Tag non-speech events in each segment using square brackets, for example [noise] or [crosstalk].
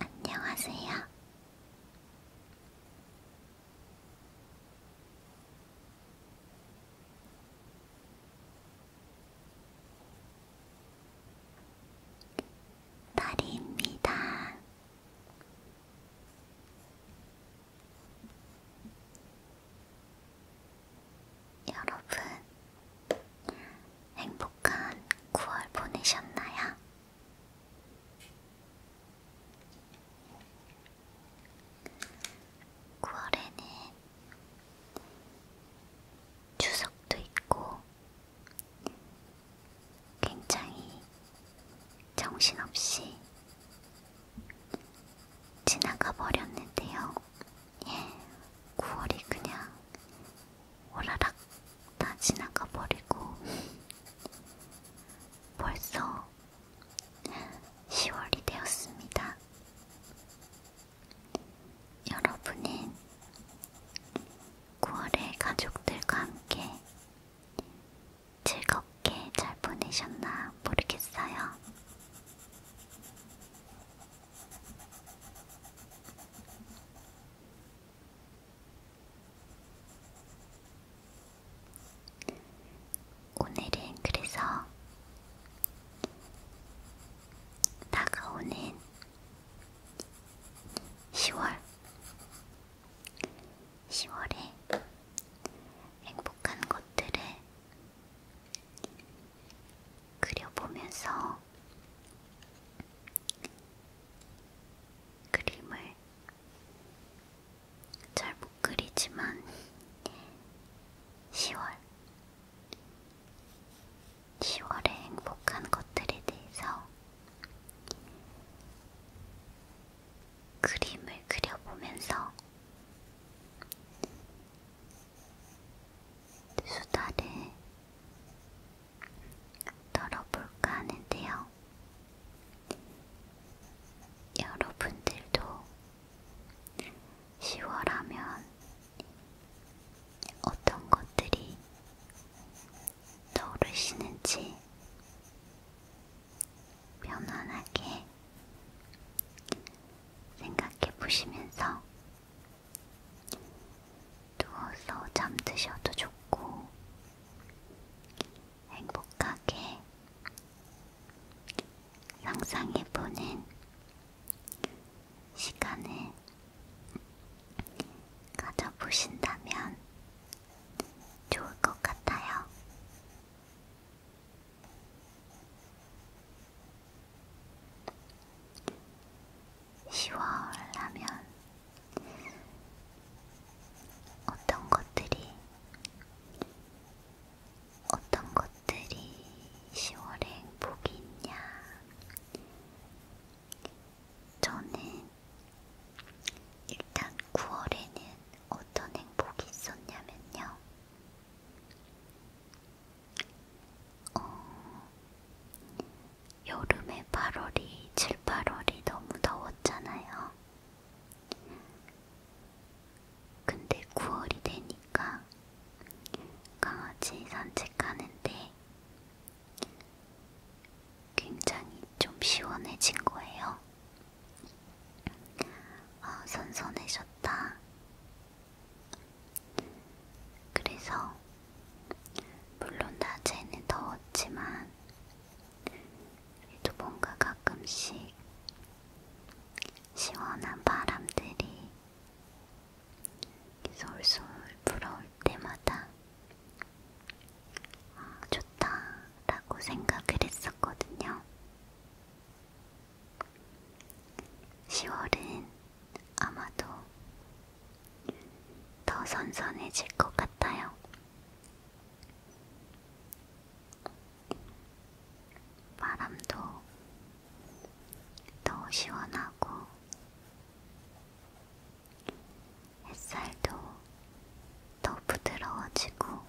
안녕하세요. 다리입니다. 여러분, 행복한 9월 보내셨나요? 구월에는 추석도 있고 굉장히 정신없이 지나가 버렸는데요. 9월이 그냥 오라락 다 지나가 버리고 벌써 10월이 되었습니다. 여러분은 9월에 가족들과 함께 즐겁게 잘 보내셨나 모르겠어요. 오늘은 그래서 다가오는 10월 10월에 행복한 것들을 그려보면서 그림을 잘 못 그리지만 10월 10월의 행복한 것들에 대해서 그림을 그려보면서 수다를 떨어볼까 하는데요. 여러분들도 10월 하면 어떤 것들이 떠오르시는지 편안하게 생각해 보시면서 누워서 잠드셔도 좋고, 행복하게 상상해보는 시간을 가져보신다면 좋을 것 같아요. 10월 하면 어떤 것들이 어떤 것들이 10월에 행복이 있냐? 저는 일단 9월에는 어떤 행복이 있었냐면요. 어, 여름에 8월이, 7, 8월이 너무 더웠잖아요. 근데 9월이 되니까 강아지 산책하는데 굉장히 좀 시원해진 거예요. 아, 선선해졌다. 그래서 물론 낮에는 더웠지만 그래도 뭔가 가끔씩 시원한 바람들이 솔솔 불어올 때마다 아, 좋다라고 생각을 했었거든요. 10월은 아마도 더 선선해질 것 같아요. 바람도 더 시원하고 햇살도 더 부드러워지고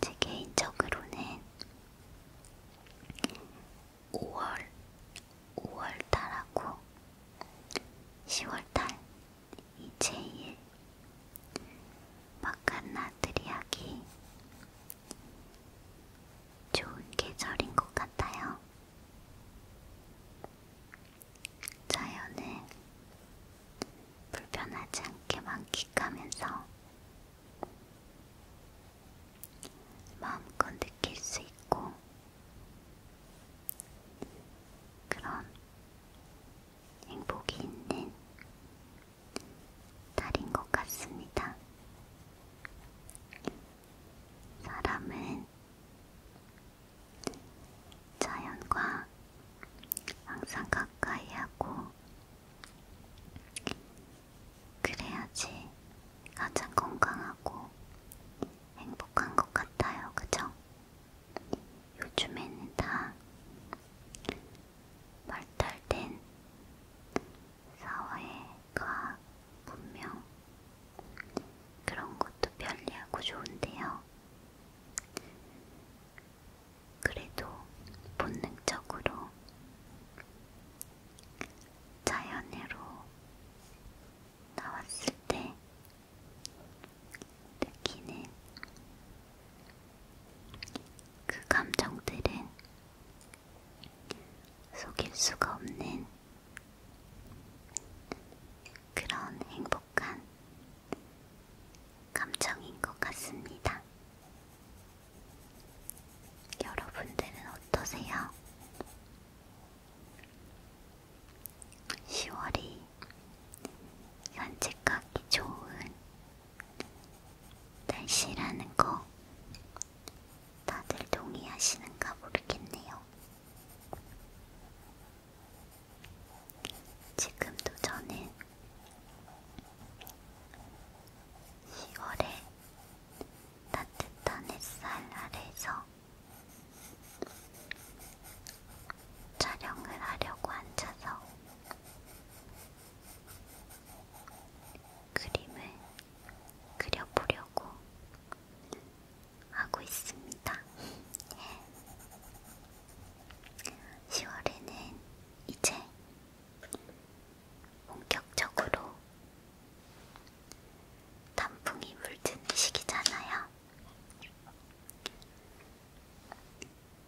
제 개인적으로는 5월, 5월달하고 10월달이 제일 바깥나들이하기 좋은 계절인 것 같아요. 자연을 불편하지 않게 만끽하면서 마음껏 느낄 수 있고 그런 행복이 있는 달인 것 같습니다. 사람은 자연과 항상 가까이 하고 그래야지 가장 건강하고 행복한 것 같아요. 그죠? 요즘에는 다 발달된 사회과 문명 그런 것도 편리하고 좋은데요. 그래도 본능적으로 자연으로 나왔을 때 느끼는 그 감정들은 속일 수가 없는 그런 행복. 행복한 감정인 것 같습니다. 여러분들은 어떠세요? 10월이 산책하기 좋은 날씨라는 거 다들 동의하시는가 모르겠네요. 지금도 저는 10월에 따뜻한 햇살 아래에서 촬영을 하려고 앉아서 그림을 그려보려고 하고 있습니다. 10월에는 [laughs] 예. 이제 본격적으로 단풍이 물드는 시기잖아요.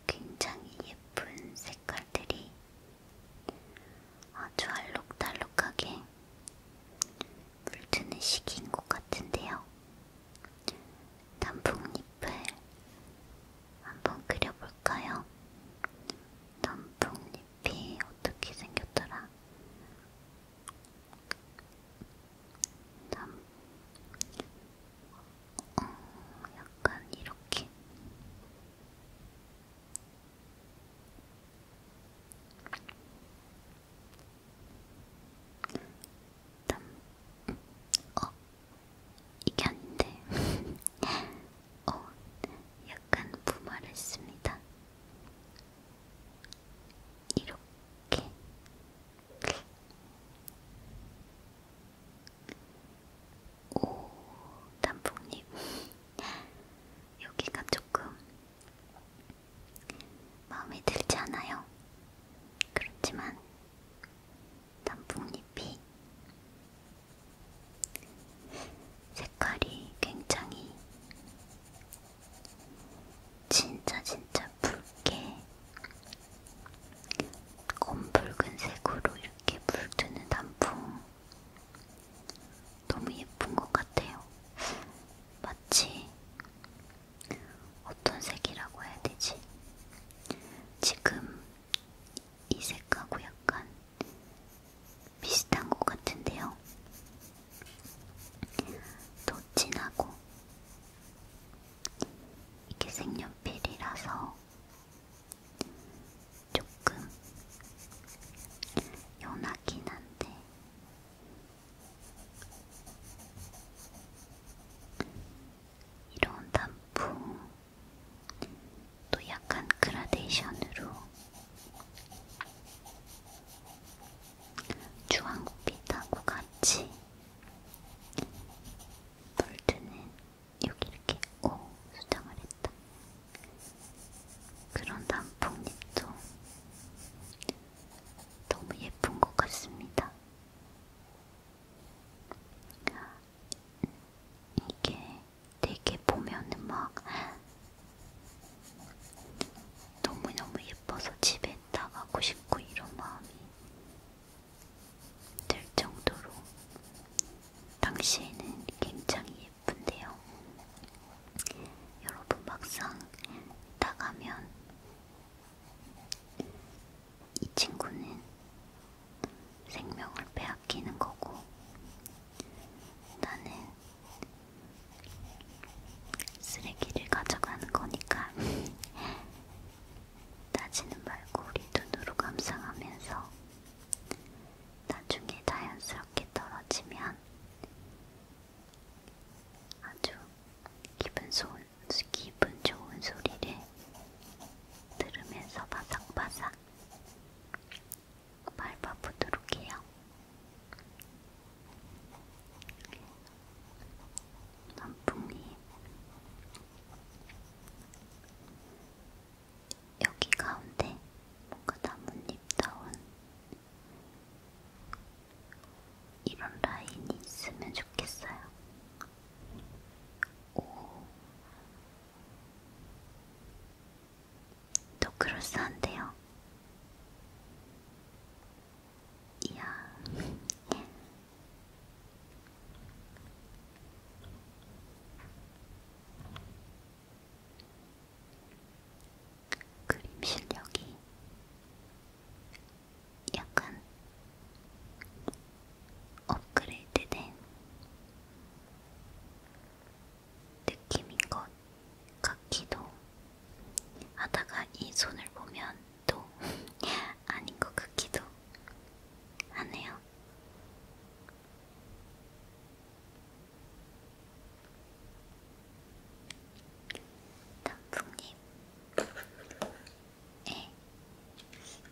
굉장히 예쁜 색깔들이 아주 알록달록하게 물드는 시기인 것 같은데요. 단풍잎을 한번 그려볼까요? 단풍잎이 어떻게 생겼더라? 단... 어, 약간 이렇게 땀, 어, 이겼는데 [laughs] 어, 약간 무말했습니다. 이렇게 오 단풍잎 [laughs] 여기가 조금 마음에 들지 않아요. 그렇지만 단풍잎이 색깔이 굉장히 진짜 진짜 붉게 검붉은색으로 이렇게 물드는 단풍 너무 예쁜 것 같아요. 마치 어떤 색이라고 해야 되지? 지금 이 색하고 약간 비슷한 것 같은데요. 더 진하고 이게 색연필이라서 조금 연하긴 한데 이런 단풍 또 약간 그라데이션으로 주황빛하고 같이 볼트는 여기 이렇게 오 수정을 했다. 그런 단풍잎도 너무 예쁜 것 같습니다. 이게 되게 보면은 막 너무너무 예뻐서 집에 나가고 싶고 이런 마음이 들 정도로 당시에는 굉장히 예쁜데요. 여러분 막상 나가면 이 친구는 생명을 빼앗기는 거고, 나는 쓰레기를 가져가는 거니까, [laughs] 따지는 말고 우리 눈으로 감상하면서, 나중에 자연스럽게 떨어지면 아주 기분 좋은 기분 좋은 소리를 들으면서 바삭바삭 밟아보도록 해요. 남풍님, 여기 가운데 뭔가 나뭇잎다운 이런 라인이 있으면 좋겠어요. 또 크로스한데요. 이야. 예. 그림 실력이 약간 업그레이드된 느낌인 것 같기도 하다가 이 손을 보면 또 [laughs] 아닌 것 같기도 하네요. 단풍잎에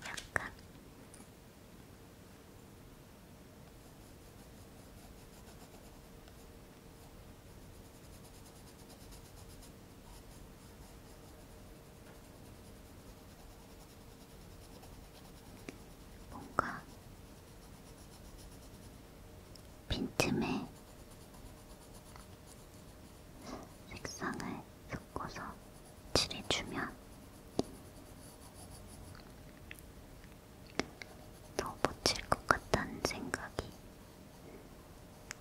약간 뭔가 빈틈에 색상을 섞어서 칠해주면 더 못칠 것 같다는 생각이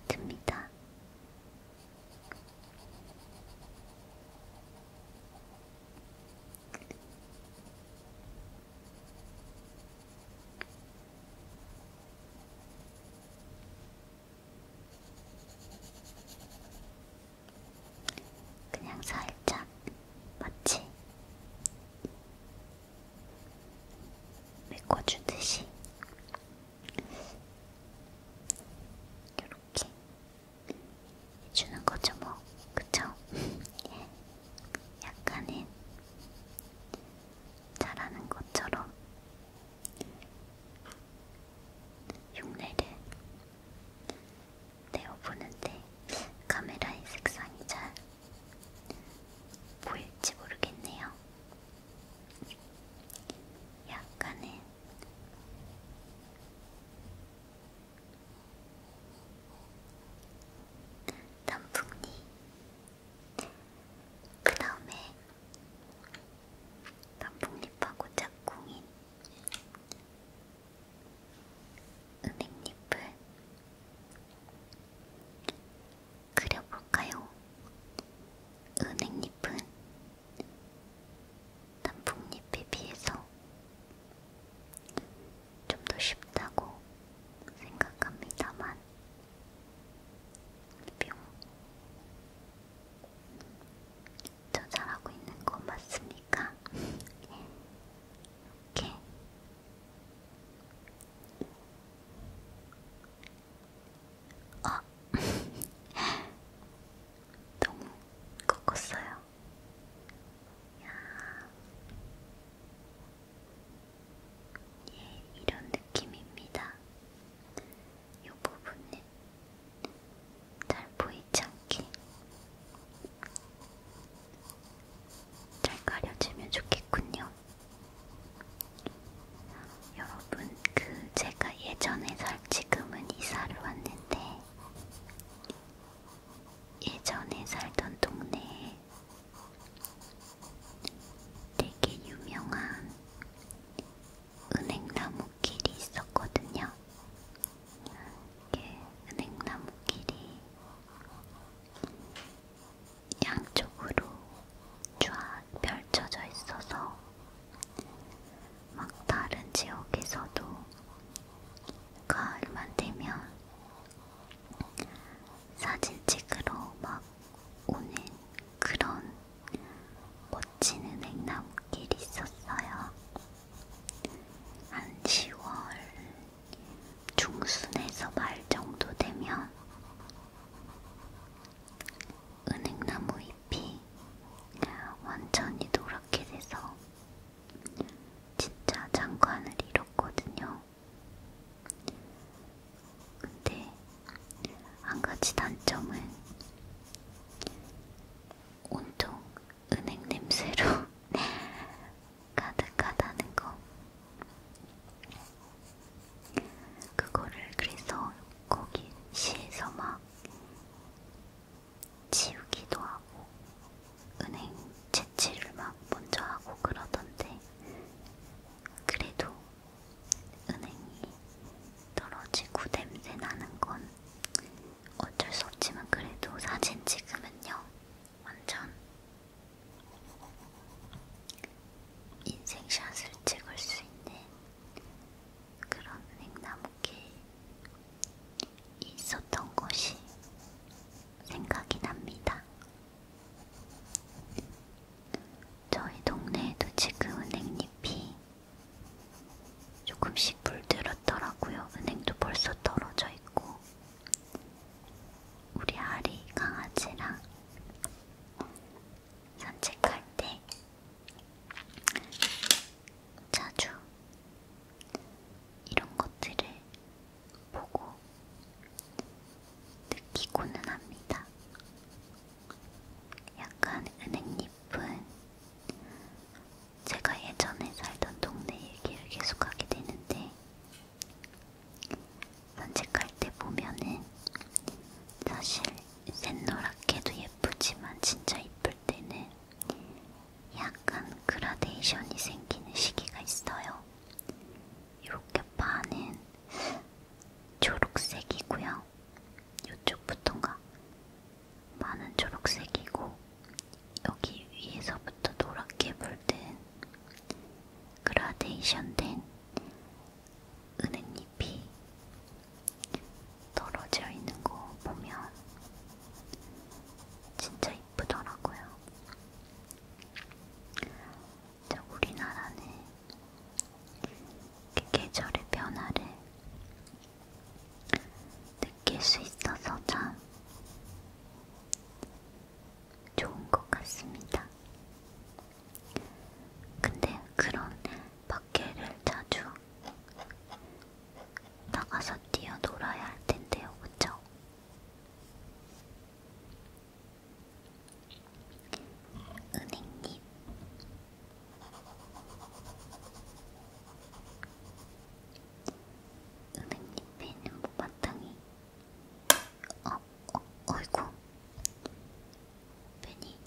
듭니다. 그냥 살짝 마치 메꿔주듯이 이렇게 해주는 거죠, 뭐, 그쵸? [laughs] 약간은 잘하는 것처럼 흉내를 내어보는데 카메라의 색상이 잘 보일지 모르겠네요. 약간은 단풍잎 그 다음에 단풍잎하고 짝꿍인 은행잎을 그려볼까요? 은행잎은 단풍잎에 비해서 좀 더 쉽다고 생각합니다만 뿅 조절하고 있는 거 맞습니까? 예. 이렇게 어 [laughs] 너무 꺾었어요. 야. 예, 이런 느낌입니다. 이 부분은 잘 보이지 않게 잘 가려지면 좋겠군요. 여러분, 그 제가 예전에 살 지금은 이사를 왔는데 예전에 살던 동네에 되게 유명한 은행나무 길이 있었거든요. 이게 은행나무 길이 양쪽으로 쫙 펼쳐져 있어서 막 다른 지역에서도 가을만 되면 사진 찍으러 막 오는 그런 멋진 은행나무길이 있었어요. 한 10월 중순에서 말 정도 되면 은행나무 그 잎이 완전히 노랗게 돼서 진짜 장관을 잃었거든요. 근데 한 가지 단점은 온통 은행 냄새로 [laughs] 가득하다는 거. 그거를 그래서 거기 시에서 막 지우기도 하고 은행 채취를 막 먼저 하고 그러던데 그래도 은행이 떨어지고 냄새 나는 건 어쩔 수 없지만 그래도 사진 찍으면요. 완전 인생샷을 찍을 수 있는 그런 냉나무길 있었던 것이 생각이 납니다. 저희 동네에도 지금 은행잎이 조금씩 물들었더라고요. 은행도 벌써 떨어져 있고 우리 아리 강아지랑 산책할 때 자주 이런 것들을 보고 느끼고는 합니다. 약간 은행잎은 제가 예전에 살던 동네 얘기를 계속하게 되는데 산책할 때 보면은 사실 샛노랗게도 예쁘지만 진짜 이쁠 때는 약간 그라데이션이 생기는 시기가 있어요. 이렇게 반은 초록색이고요. 이쪽부터인가 반은 초록색이고 여기 위에서부터 노랗게 물든 그라데이션된 은은잎이 떨어져 있는 거 보면 진짜 이쁘더라고요. 자, 우리나라는 계절의 변화를 느낄 수 있어서 참 좋은 것 같습니다. 근데 그런 밖에를 자주 나가서 뛰어놀아야 할 텐데요, 그쵸? 은행잎 은행잎에 있는 모바탕이 어, 어, 어이구 괜히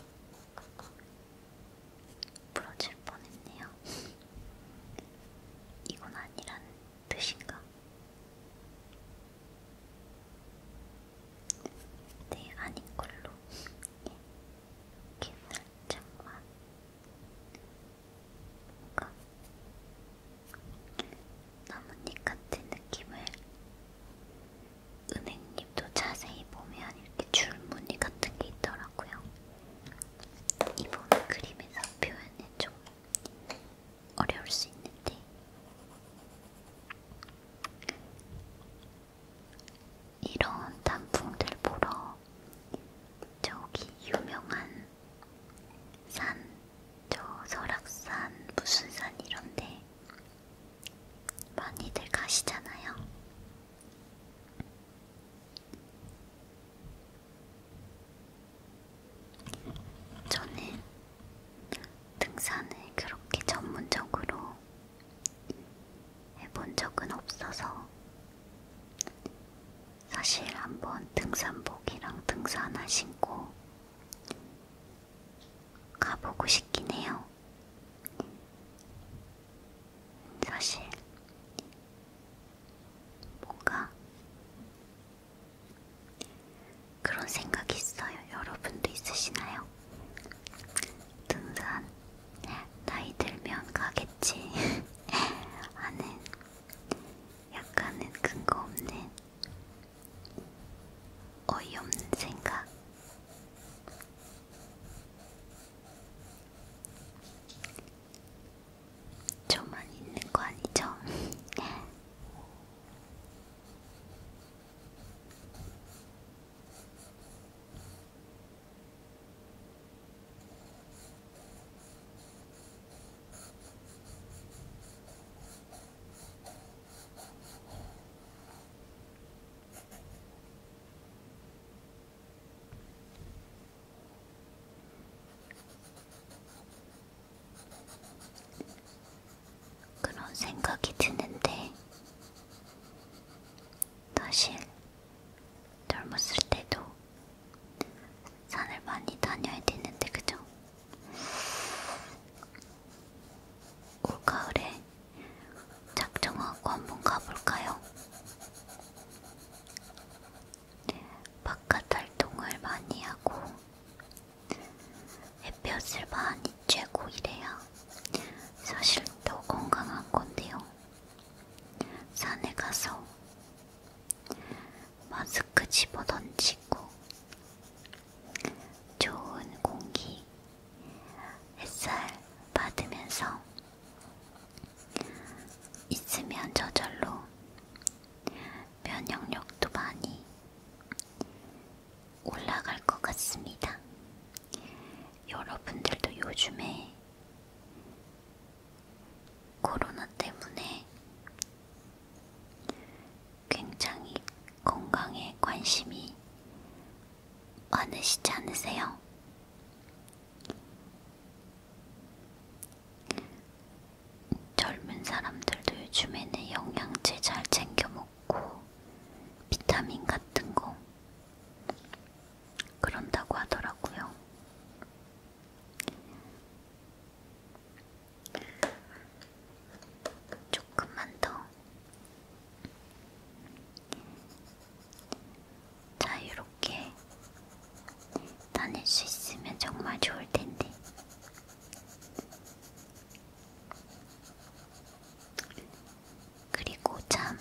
부러질 뻔했네요. [laughs] 이건 아니라는 뜻인가? 네, 아닌 걸로. [laughs] 이렇게 살짝만 뭔가 나뭇잎 같은 느낌을 은행잎도 자세히 보면 이렇게 줄무늬 같은 게 있더라고요. 이번 그림에서 표현이 좀 어려울 수 있는데 이런 단풍들 보러 저기 유명한 산, 저 설악산, 무슨 산 이런데 많이들 가시잖아요. 저는 등산을 그렇게 전문적으로 해본 적은 없어서 사실 한번 등산복이랑 등산 하나 신고 가보고 싶긴 해요. 사실 뭔가 그런 생각이 있어요. 여러분도 있으시나요? 등산 나이 들면 가겠지 [laughs] 하는 약간은 근거 없는 어이없는 생각 저만 있는 거 아니죠? [laughs] 그런 생각이 드는데, 사실 젊었을 때도 산을 많이 다녀야 되는데 그죠? 올가을에 작정하고 한번 가볼까요? 네, 바깥 활동을 많이 하고 햇볕을 많이 쬐고 이래야 사실 더 건강한 건데요. 산에 가서 마스크 집어 던지고 좋은 공기, 햇살 받으면서 있으면 저절로 면역력도 많이 올라갈 것 같습니다. 여러분들도 요즘에 코로나 때문에 굉장히 건강에 관심이 많으시지 않으세요? 젊은 사람들도 요즘에는 영양제 잘 챙겨 먹고 비타민 같은 거 그런다고 하더라고요. 조금만 더. 자유롭게 다닐 수 있으면 정말 좋을 텐데. 그리고 참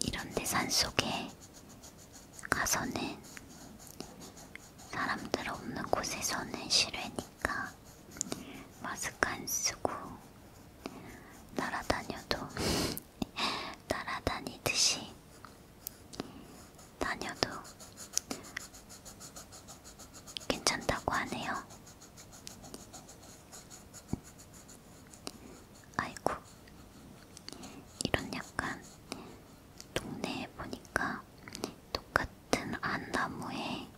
이런데 산속에 가서는 사람들 없는 곳에서는 싫으니까 마스크 안 쓰고 날아다녀도 [laughs] 날아다니듯이 다녀도 괜찮다고 하네요. 아이고 이런 약간 동네에 보니까 똑같은 안나무에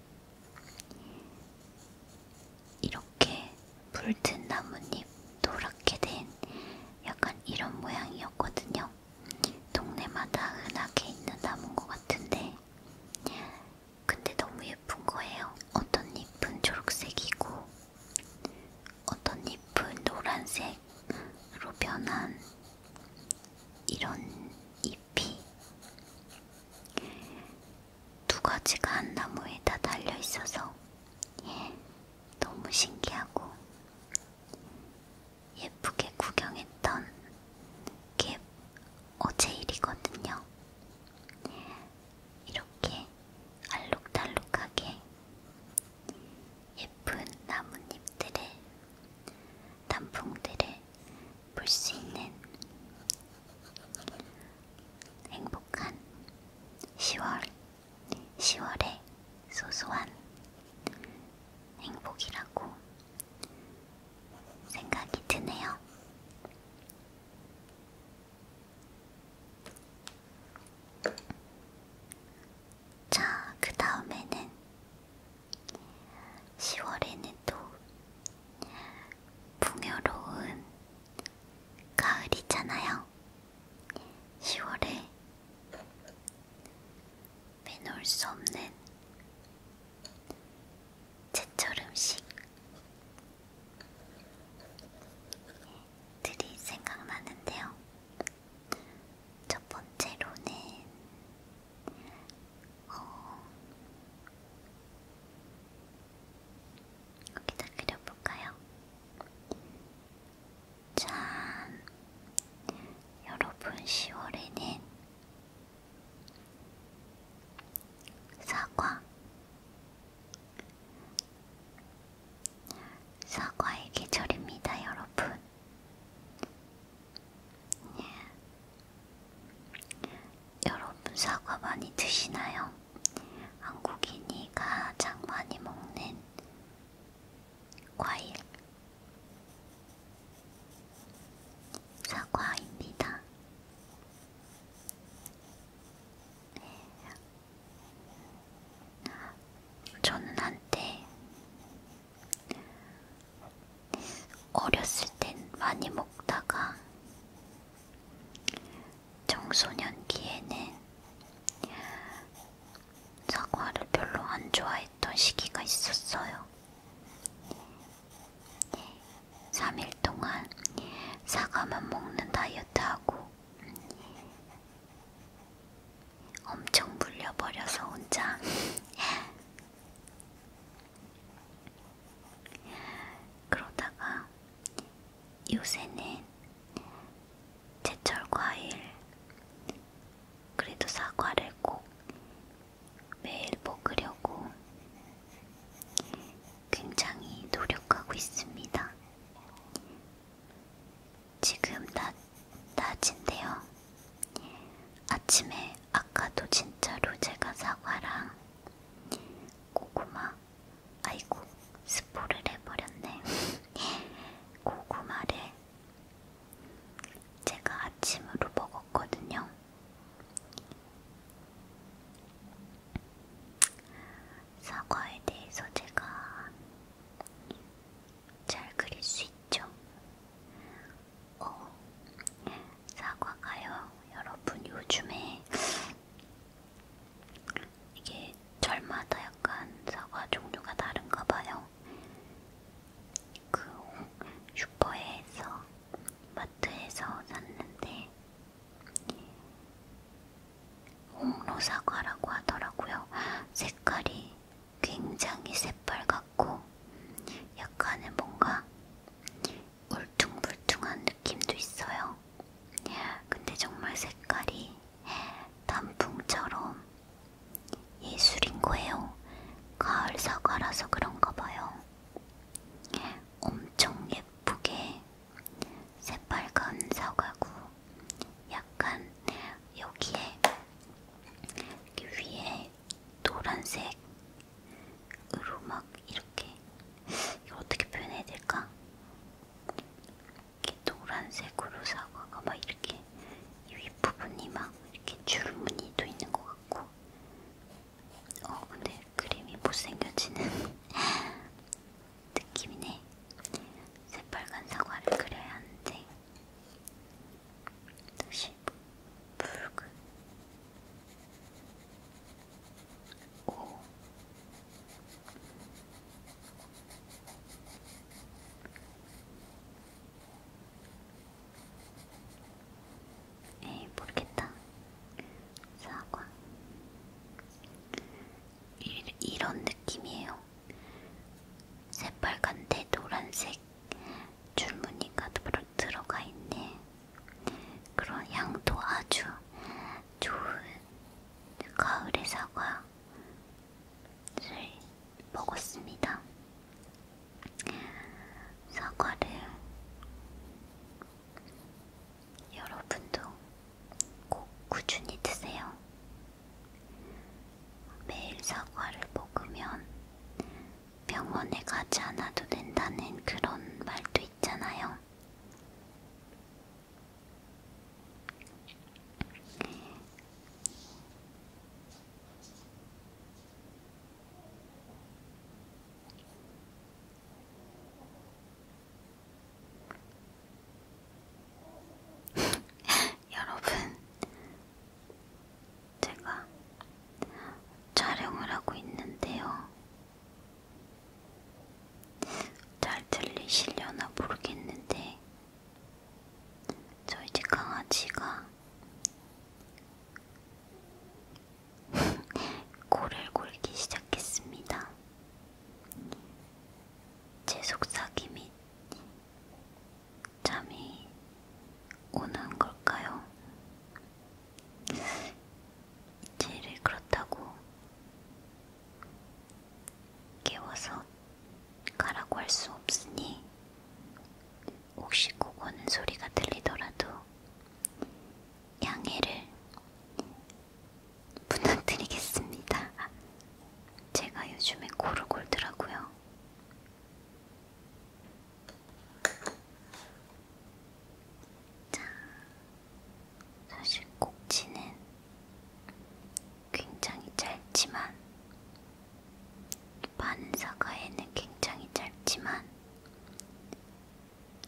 이렇게 물든 나뭇잎 노랗게 된 약간 이런 모양이었거든요. 동네마다 흔하게 있는 나무인 것 같은데 근데 너무 예쁜 거예요. 어떤 잎은 초록색이고 어떤 잎은 노란색으로 변한 이런 잎이 두 가지가 한 나무에 다 달려 있어서 예, 너무 신기하고 예쁘게 구경했던 게 어제 일이거든요. 이렇게 알록달록하게 예쁜 나뭇잎들의 단풍들을 볼 수 있는 행복한 10월, 10월의 소소한 행복이라고 생각이 드네요. 자, 그 다음에는 10월에는 또 풍요로운 가을이잖아요. 10월에 빼놓을 수 없는 제철 음식 들이 생각나는데요. 첫 번째로는 어, 여기다 그려볼까요? 자, 여러분 10월에는 사과, 사과의 계절입니다, 여러분. 예. 여러분 사과 많이 드시나요? 한국인이 가장 많이 먹는 과일 사과입니다. 네. 저는 한때 어렸을 땐 많이 먹다가 청소년기에는 사과를 별로 안 좋아했던 시기가 있었어요. 3일 동안 사과만 먹는 다이어트하고 엄청 물려버려서 혼자 [laughs] 그러다가 요새는 제철 과일 그래도 사과를 꼭 매일 먹으려고 굉장히 노력하고 있습니다. 지금 낮, 낮인데요. 아침에 아까도 진짜로 제가 사과랑 고구마, 아이고, 스포를 해버렸네. [laughs] 고구마를 제가 아침으로 먹었거든요. 사과에 대해서 제가 잘 그릴 수 있죠? 어, 사과가요. 여러분 요즘에 이게 절마다 약간 사과 종류가 다른가 봐요. 그 슈퍼에서 마트에서 샀는데 홍로사과라고 하더라고요. 색깔이 굉장히 새빨갛고 약간은 뭔가 울퉁불퉁한 느낌도 있어요. 근데 정말 색깔이 단풍처럼 예술인 거예요. 가을 사과라서 그런가 봐요. 엄청 예쁘게 새빨간 사과구 약간 여기에 여기 위에 노란색으로 막 이렇게 이걸 어떻게 표현해야 될까? 이렇게 노란색으로 사과가 막 이렇게 이 윗부분이 막 이렇게 줄무늬도 있는 것 같고 어 근데 그림이 못생겨지는 [laughs] 느낌이네. 새빨간 사과를 그려야 하는데 다시 붉은 오 에이 모르겠다 사과 이, 이런 느낌이에요. 새빨간데 노란색 줄무늬가 들어가 있네. 그런 향도 아주 좋은 가을의 사과를 먹었습니다. 사과를 여러분도 꼭 꾸준히 드세요. 매일 사과를 먹으면 병원에 가지 않아도 된다는 그런 말도 있잖아요. [laughs] 여러분, 제가 촬영을 하고 있는데요. 잘 들리시려나 모르겠는데, 저희 집 강아지가 [laughs] 고를 골기 시작했습니다. 제 속삭이 및 잠이 오는 걸까요? 제일 그렇다고 깨워서 가라고 할 수 없으니 혹시 꼭 오는 소리가 들리더라도 양해를 부탁드리겠습니다. 제가 요즘에 고를 골더라고요. 자, 사실 꼭지는 굉장히 짧지만 반사과에는 굉장히 짧지만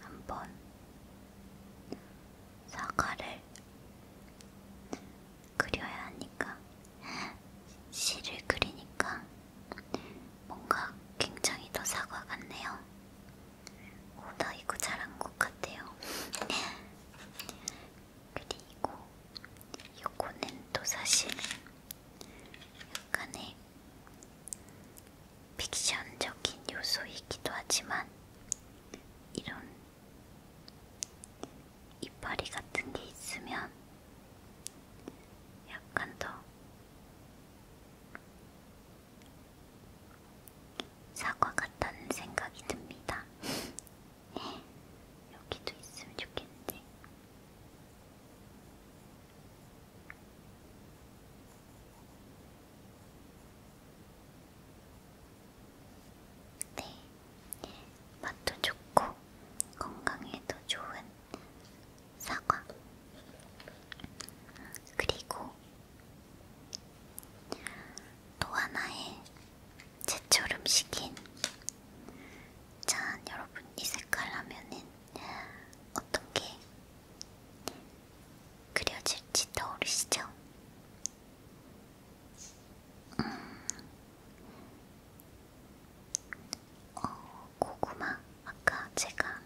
한번 사과를 그려야 하니까 시를 그리니까 뭔가 굉장히 더 사과 같네요. 오, 나 이거 잘한 것 같아요. [laughs] 그리고 이거는 또 사실 약간의 픽션적인 요소이기도 하지만 이런 이파리 같은 게 있으면 약간 더 사과 같다는 생각이 듭니다. [laughs] 여기도 있으면 좋겠는데. 네, 맛도 좋고 건강에도 좋은 사과. 그리고 또 하나의 제철 음식인 짠 여러분 이 색깔 하면은 어떤 게 그려질지 떠오르시죠? 음. 어, 고구마 아까 제가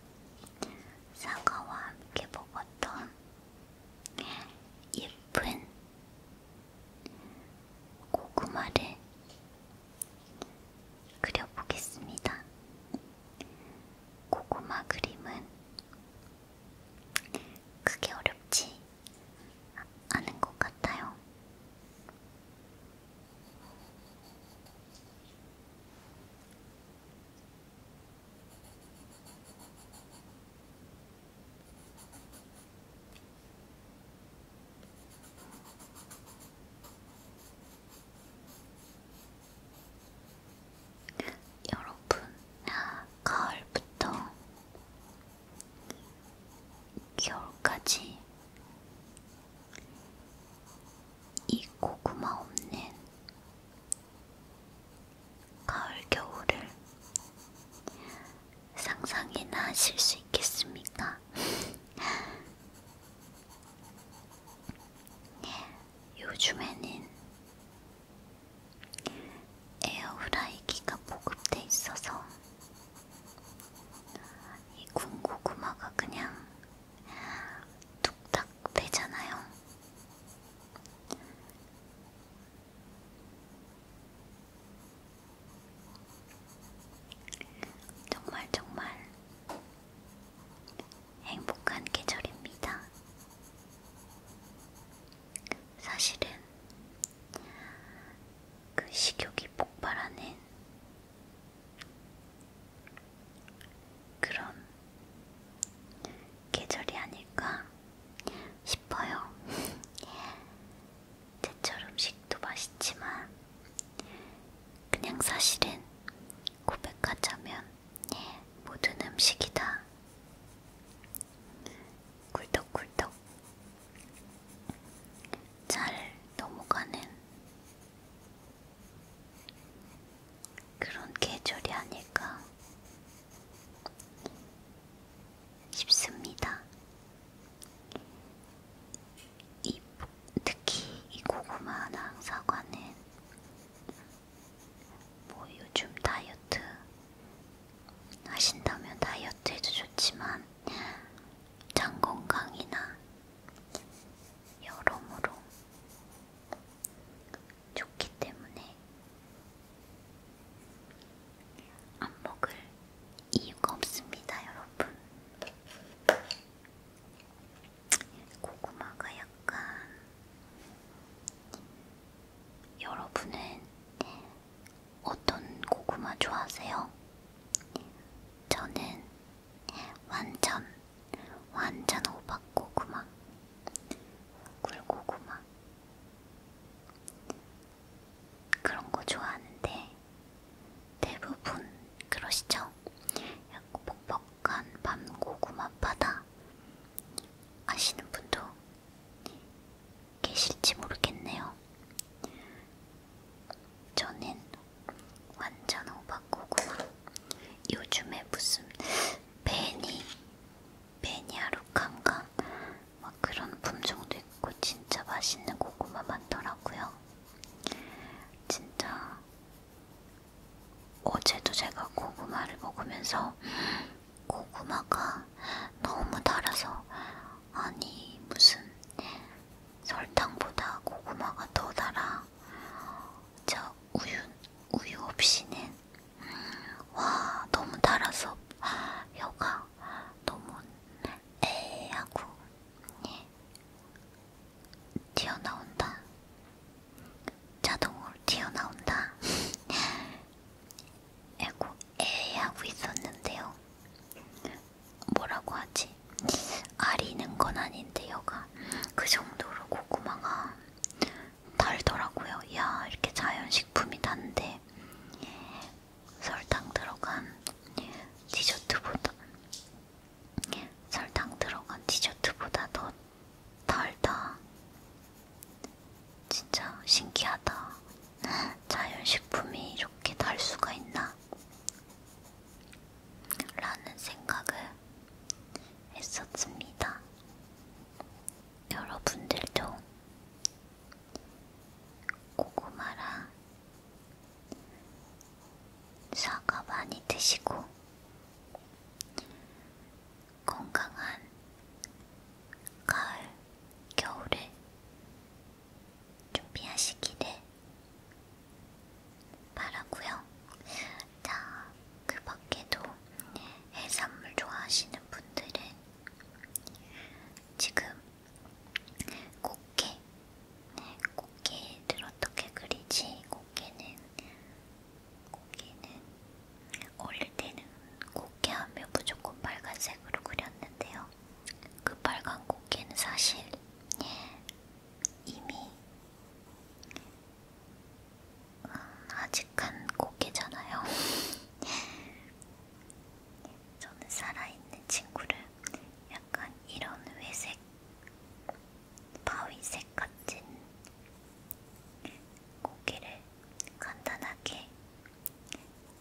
사과와 함께 먹었던 예쁜 고구마를 그려보겠습니다. 고구마 그림은 크게 어렵지 하는 것 같아요. 여러분, 가을부터 겨울까지 이 고구마 없는 가을 겨울을 상상이나 하실 수 있겠습니까? [laughs] 네, 요즘에는 에어프라이기가 보급돼 있어서 이 군고구마가 그냥 뚝딱 되잖아요. 정말 정말 행복한 계절입니다. 사실은 그 식욕이 폭발하는 그런 계절이 아닐까 싶어요. [laughs] 제철 음식도 맛있지만 그냥 사실은 고백하자면 모든 음식이 다 굴떡굴떡 잘 넘어가는 그런 계절이 아닐까 싶습니다. 이, 특히 이 고구마랑 사과는 뭐 요즘 다이어트 하신다면 다이어트에도 좋지만 장 건강이나 여러모로 좋기 때문에 안 먹을 이유가 없습니다, 여러분. 고구마가 약간 여러분은 어떤 고구마 좋아하세요? 저는 완전 완전 호박 고구마, 굴고구마 그런 거 좋아하는데 대부분 그러시죠? 약간 뻑뻑한 밤 고구마 바다 아시는 분도 계실지 모르겠네요. 저는 완전 오바꾸구나. 요즘에 무슨 베니, 베니아루칸가 막 그런 품종도 있고 진짜 맛있는 고구마 많더라고요. 진짜 어제도 제가 고구마를 먹으면서 고구마가 너무 달아서 아니 무슨 설탕보다 고구마가 더 달아 저 우유 우유 없이는 음, 와 너무 달아서 혀가 너무 에 하고 예. 튀어나온다 자동으로 튀어나온다 [laughs] 에고 에 하고 있었는데요. 뭐라고 하지? 아리는 건 아닌데 요가 그 정도로 고구마가 달더라고요. 야 이렇게 자연식품이 단데 설탕 들어간 디저트보다 설탕 들어간 디저트보다 더 달다. 진짜 신기하다. [laughs] 자연식품이 이렇게 달 수가 있나? 라는 생각을 했었습니다. 여러분들도 고구마랑 사과 많이 드시고 건강한 가을, 겨울에 준비하시기를 바라고요. 자, 그 밖에도 네, 해산물 좋아하시는 분들은 지금 꽃게, 네, 꽃게를 어떻게 그리지? 꽃게는 꽃게는 어릴 때는 꽃게하면 무조건 빨간색으로 그렸는데요. 그 빨간 꽃게는 사실 예, 이미 음, 아직한 꽃게잖아요. [laughs] 저는 살아있는 친구를 약간 이런 회색, 바위색 같은 고기를 간단하게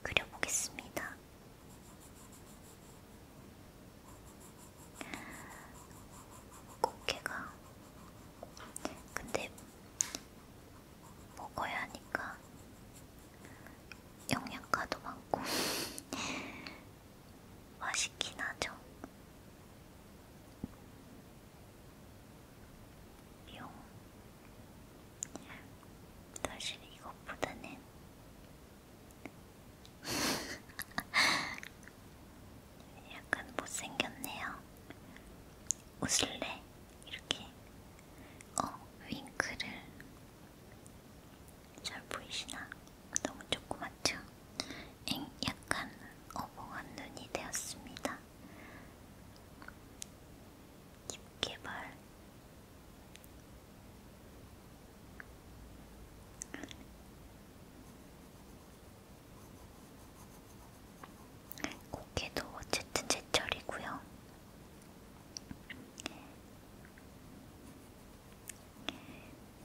그려보겠습니다. 꽃게가 근데 먹어야 하니까 영양가도 많고 [laughs] 맛있긴 하죠. 용 사실 이것보다는 [laughs] 약간 못생겼네요. 웃을래? 이렇게 어 윙크를 잘 보이시나? 너무 조그맣죠? 엥 약간 어벙한 눈이 되었습니다. 깊게 말 고개도 어쨌든 제철이고요.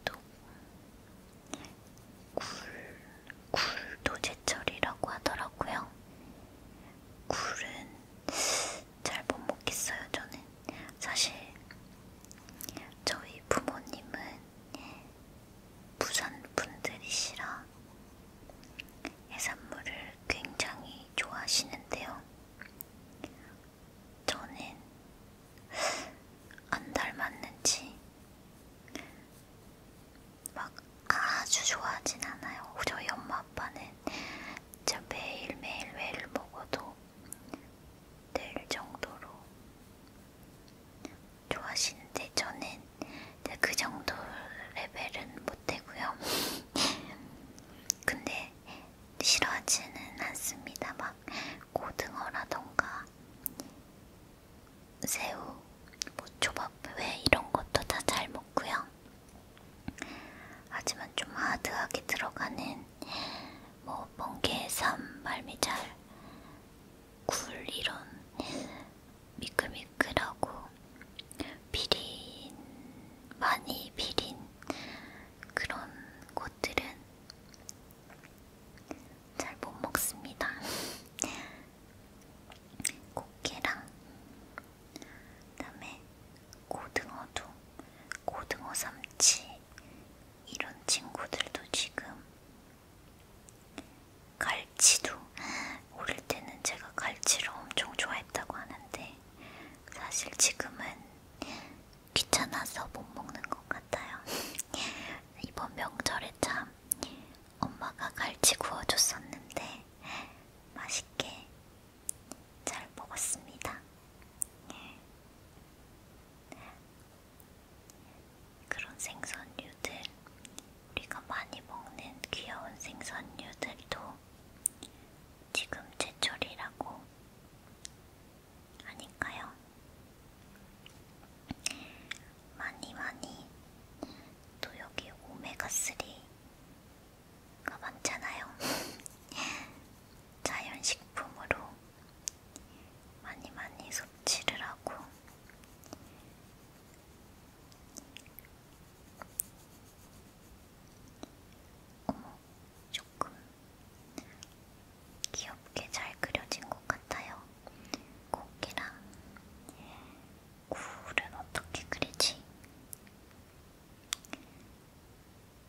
또 굴, 굴도 제철이라고 하더라고요. 굴은 잘못 먹겠어요, 저는. 사실, 저희 부모님은 부산 분들이시라 해산물을 굉장히 좋아하시는데요. 저는 안 닮았는지 막 아주 좋아하진 않아요. 저희 엄마 아빠는 진짜 매일매일 회를 먹어도 될 정도로 좋아하시는데 저는 그 정도 레벨은 못되고요. [laughs] 근데 싫어하지는 않습니다. 막 고등어라던가 새우, 뭐 초밥, 회 이런 것도 다 잘 먹고요. 하지만 좀 하드하게 들어가는 뭐 번개, 삶, 말미잘, 굴 이런 미끌미끌하고 비린 많이 비린 그런 곳들은 잘 못 먹습니다. [laughs] 꽃게랑 그다음에 고등어도 고등어 삼치 이런 친구들도 지금 갈치도 [gasps] 어릴 때는 제가 갈치를 엄청 좋아했다고 하는데 사실 지금은 귀찮아서 못 먹는 것 같아요. [laughs] 이번 명절에 참 엄마가 갈치 구워줬었는데 맛있게 잘 먹었습니다. 네. 그런 생선류들, 우리가 많이 먹는 귀여운 생선류들도 지금 제철이라고 하니까요. 많이 많이 또 여기 오메가3 가 많잖아요. [laughs] 자연식품으로 많이 많이 섭취를 하고 어머, 조금 귀엽게 잘 그려진 것 같아요. 고기랑 굴은 예, 어떻게 그리지?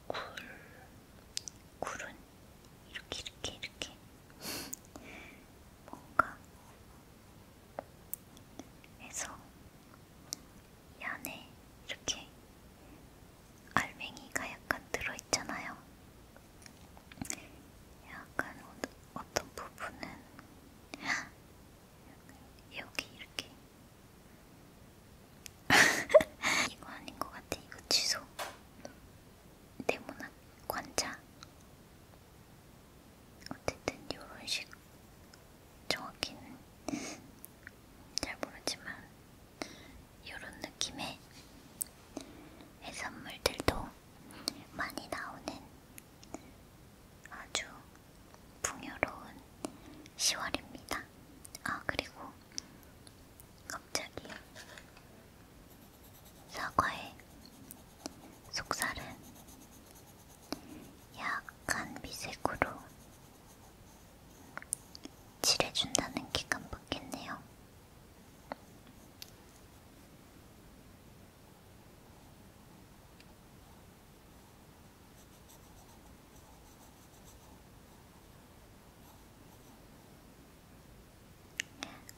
굴, 굴은 이렇게 이렇게 이렇게 뭔가 해서 이 안에 이렇게 알맹이가 약간 들어있잖아요. 약간 어떤 부분은 [gasps] 여기 이렇게 [laughs] 이거 아닌 것 같아. 이거 취소. 네모난 관자. 어쨌든 요런 식 정확히는 잘 모르지만 요런 느낌의 해산물들도 많이 나오는 아주 풍요로운 10월입니다. 아, 그리고 갑자기 사과의 속살은 약간 미색으로 칠해준다는 게 깜빡했네요.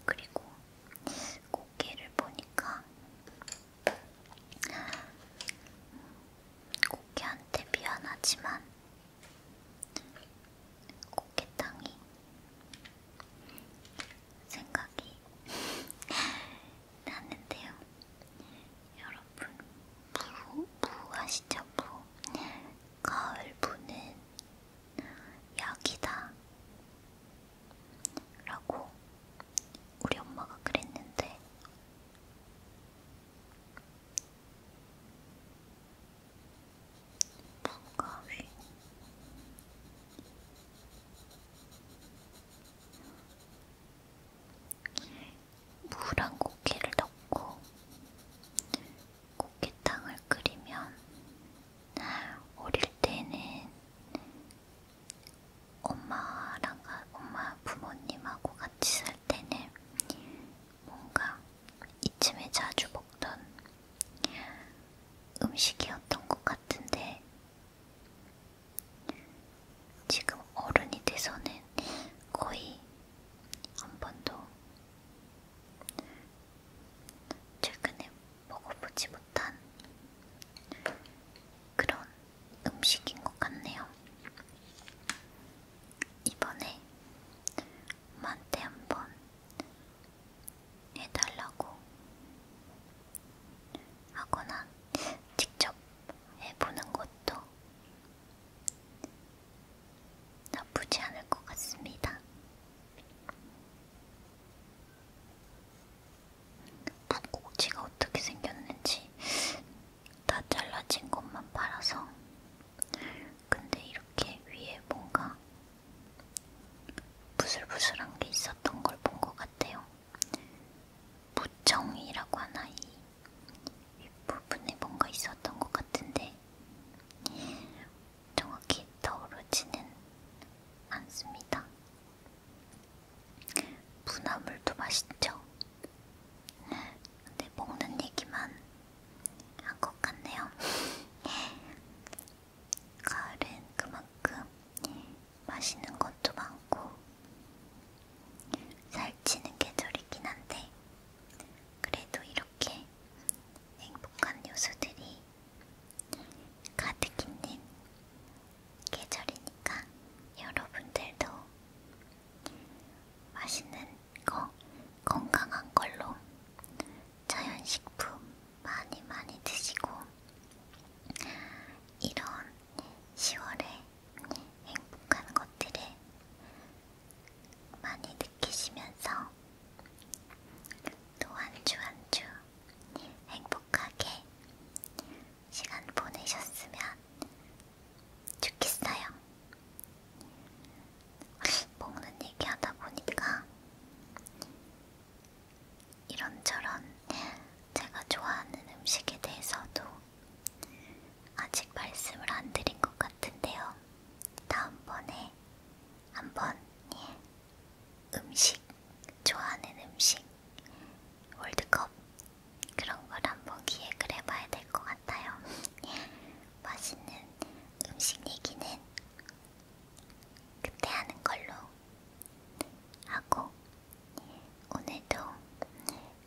그리고 고개를 보니까 고개한테 미안하지만 고개 땅이 생각이 났는데요. 여러분 무, 무 아시죠? 무 가을 무는 약이다 라고 우리 엄마가 그랬는데 무가위 무랑 고기를 넣고 고기탕을 끓이면 어릴 때는 엄마랑 엄마 부모님하고 같이 살 때는 뭔가 이쯤에 자주 먹던 음식이었던 것 같은데 지금 어른이 돼서는 거의 한 번도 최근에 먹어보지 못한 그런 음식인 것 같네요. 이번에 엄마한테 한 번 해달라고 하거나 직접 해보는 것도 것도 나쁘지 않을 것 같습니다. 무꼭지가 어떻게 생겼는지 다 잘라진 것만 팔아서 근데 이렇게 위에 뭔가 부슬부슬한 게 있었던 걸 본 것 같아요. 무청이라고 하나 이 윗부분에 뭔가 있었던 것 같은데 정확히 떠오르지는 않습니다. 문화물도 맛있죠? 근데 네, 먹는 얘기만 한 것 같네요. [laughs] 가을은 그만큼 맛있는 것도 많고 살찌는 계절이긴 한데 그래도 이렇게 행복한 요소들이 가득 있는 계절이니까 여러분들도 맛있는 거 건강한 걸로 자연식품 많이 많이 드시고 이런 10월에 행복한 것들을 많이 느끼시면서 또 한 주 한 주 행복하게 시간 보내셨으면 좋겠어요. 먹는 얘기 하다 보니까 이런저런 제가 좋아하는 음식에 대해서도 아직 말씀을 안 드린 것 같은데요. 다음번에 한번 예. 음식 좋아하는 음식 월드컵 그런 걸 한번 기획을 해봐야 될 것 같아요. 예, 맛있는 음식 얘기는 그때 하는 걸로 하고 예, 오늘도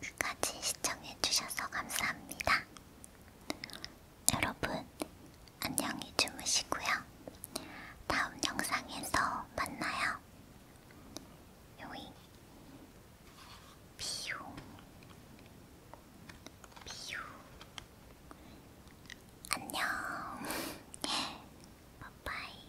끝까지 시청해주셔서 감사합니다. 여러분, 안녕히 주무시고요. 다음 영상에서 만나요. 요잉. 비용. 비용. 안녕. [laughs] 바이바이.